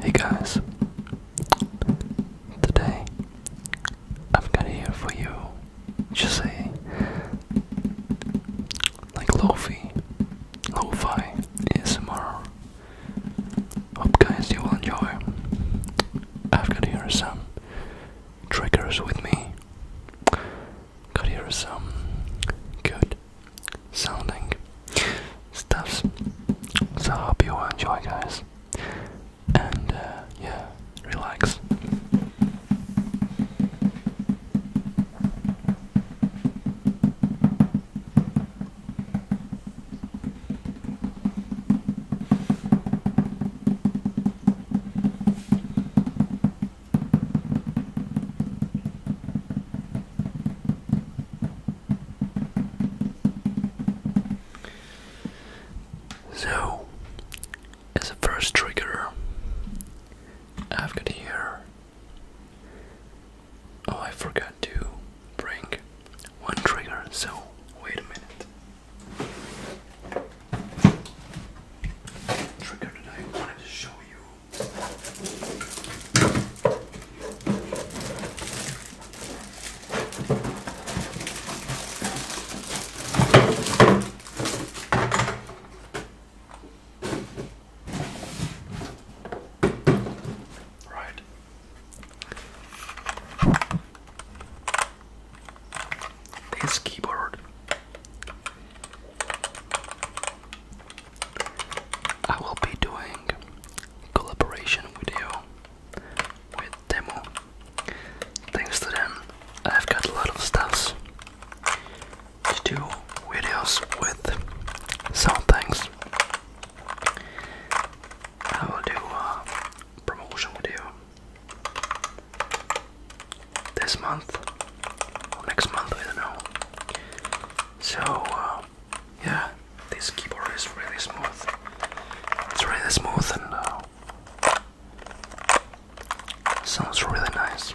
Hey guys, today I've got here for you just a like lo-fi, lo-fi ASMR Hope guys you will enjoy. I've got here some triggers with me. Got here some good sounding stuffs. So hope you will enjoy guys. And uh, yeah, relax. So, as a first trigger, I've got here. Oh, I forgot to bring one trigger, so wait a minute. Trigger that I wanted to show you. Right, this keyboard. I will be doing collaboration video with Demo. Thanks to them, I've got a lot of stuffs to do videos with some things. I will do uh, promotion we do this month or next month, I don't know. So, uh, yeah, this keyboard is really smooth. It's really smooth and uh, sounds really nice.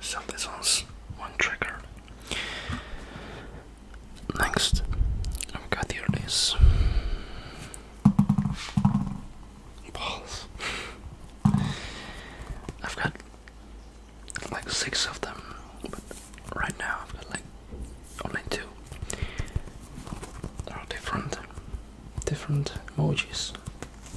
So this one's one trigger. Next, I've got here balls. I've got like six of them, but right now I've got like only two. They're all different, different emojis.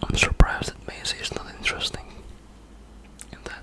I'm surprised that Maisie is not interesting in that.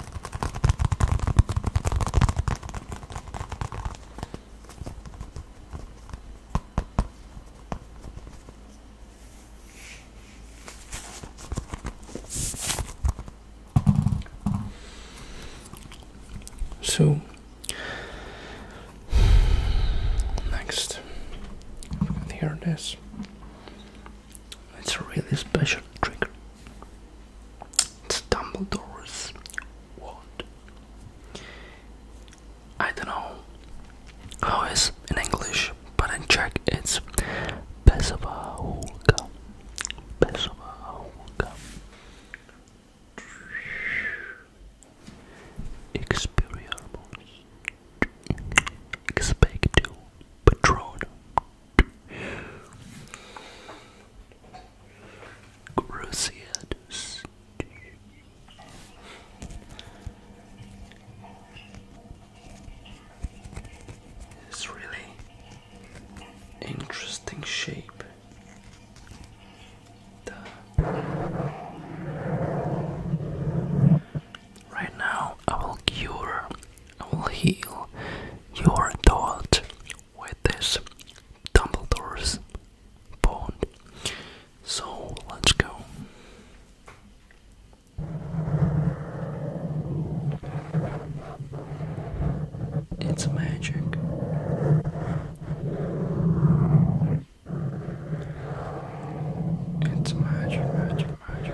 So next, here it is. It's a really special trigger. It's Dumbledore's wand. I don't know how it's in English, but in Czech it's Pesová hůlka. Pesová hůlka. Experiamos. Expecto Patronum. Cruciatus. It's really interesting shape. right now, I will cure I will heal your thought with this Dumbledore's bone. So let's go. It's magic. It's magic, magic, magic.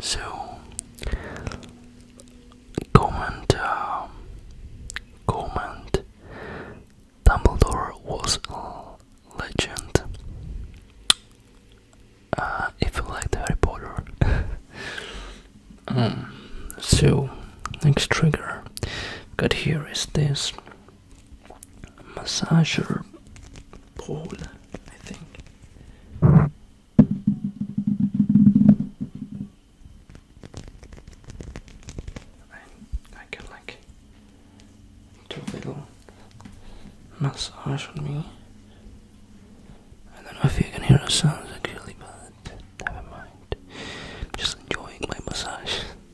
So comment um, comment Dumbledore was a legend. Uh, if you like Harry Potter. Hmm. so next trigger got here is this massager pole, I think. I, can like do a little massage on me. I don't know if you can hear the sounds actually, but never mind. just enjoying my massage.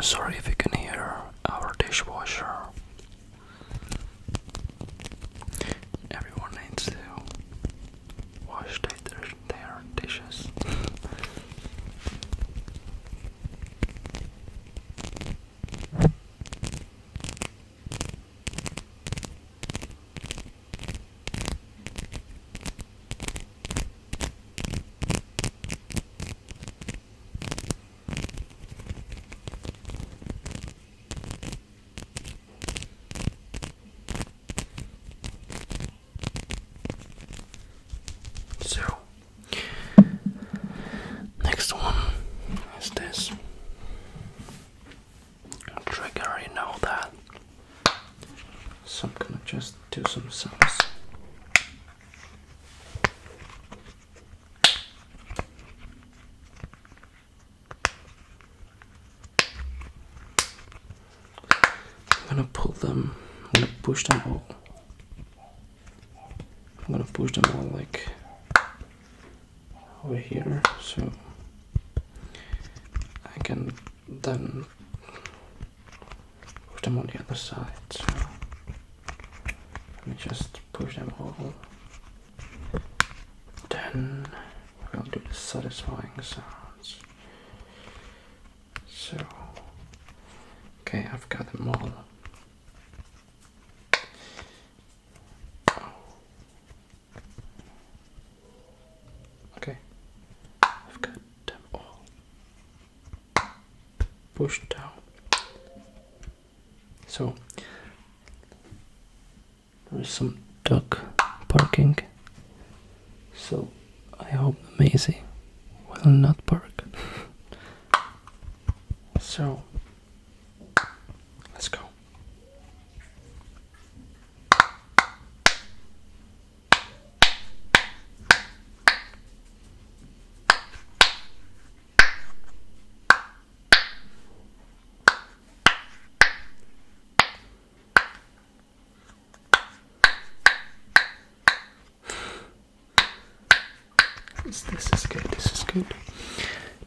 Sorry if you can hear our dishwasher. Everyone needs to wash their, their dishes. So, next one is this. Trigger, already know that. So, I'm gonna just do some sounds. I'm gonna pull them, I'm gonna push them all. I'm gonna push them all like over here so I can then push them on the other side. let me just push them all. Then we will do the satisfying sounds. So, okay, I've got them all. Oh. Okay, I've got them all. Pushed down. So, there is some dog parking. So I hope Maisie will not park. so let's go. This, is good, this is good.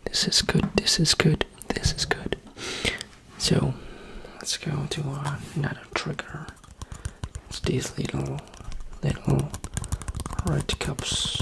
This is good, this is good, this is good. So let's go to another trigger. It's these little little red cups.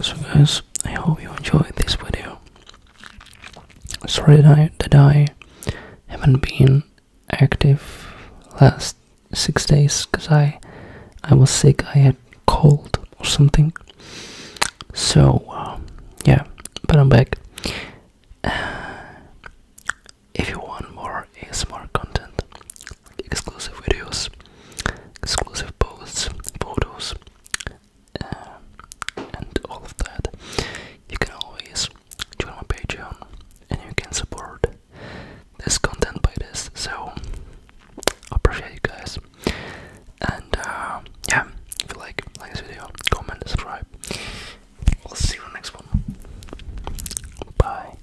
so guys, I hope you enjoyed this video. Sorry that I, haven't been active last six days because I I was sick. I had cold or something. So um, yeah, but I'm back. if you want more ASMR content, exclusive videos, exclusive posts, photos, um, and all of that. You can always join my Patreon and you can support this content by this. So, appreciate you guys. And uh, yeah, if you like, like this video, comment, subscribe. I'll see you in the next one. Bye.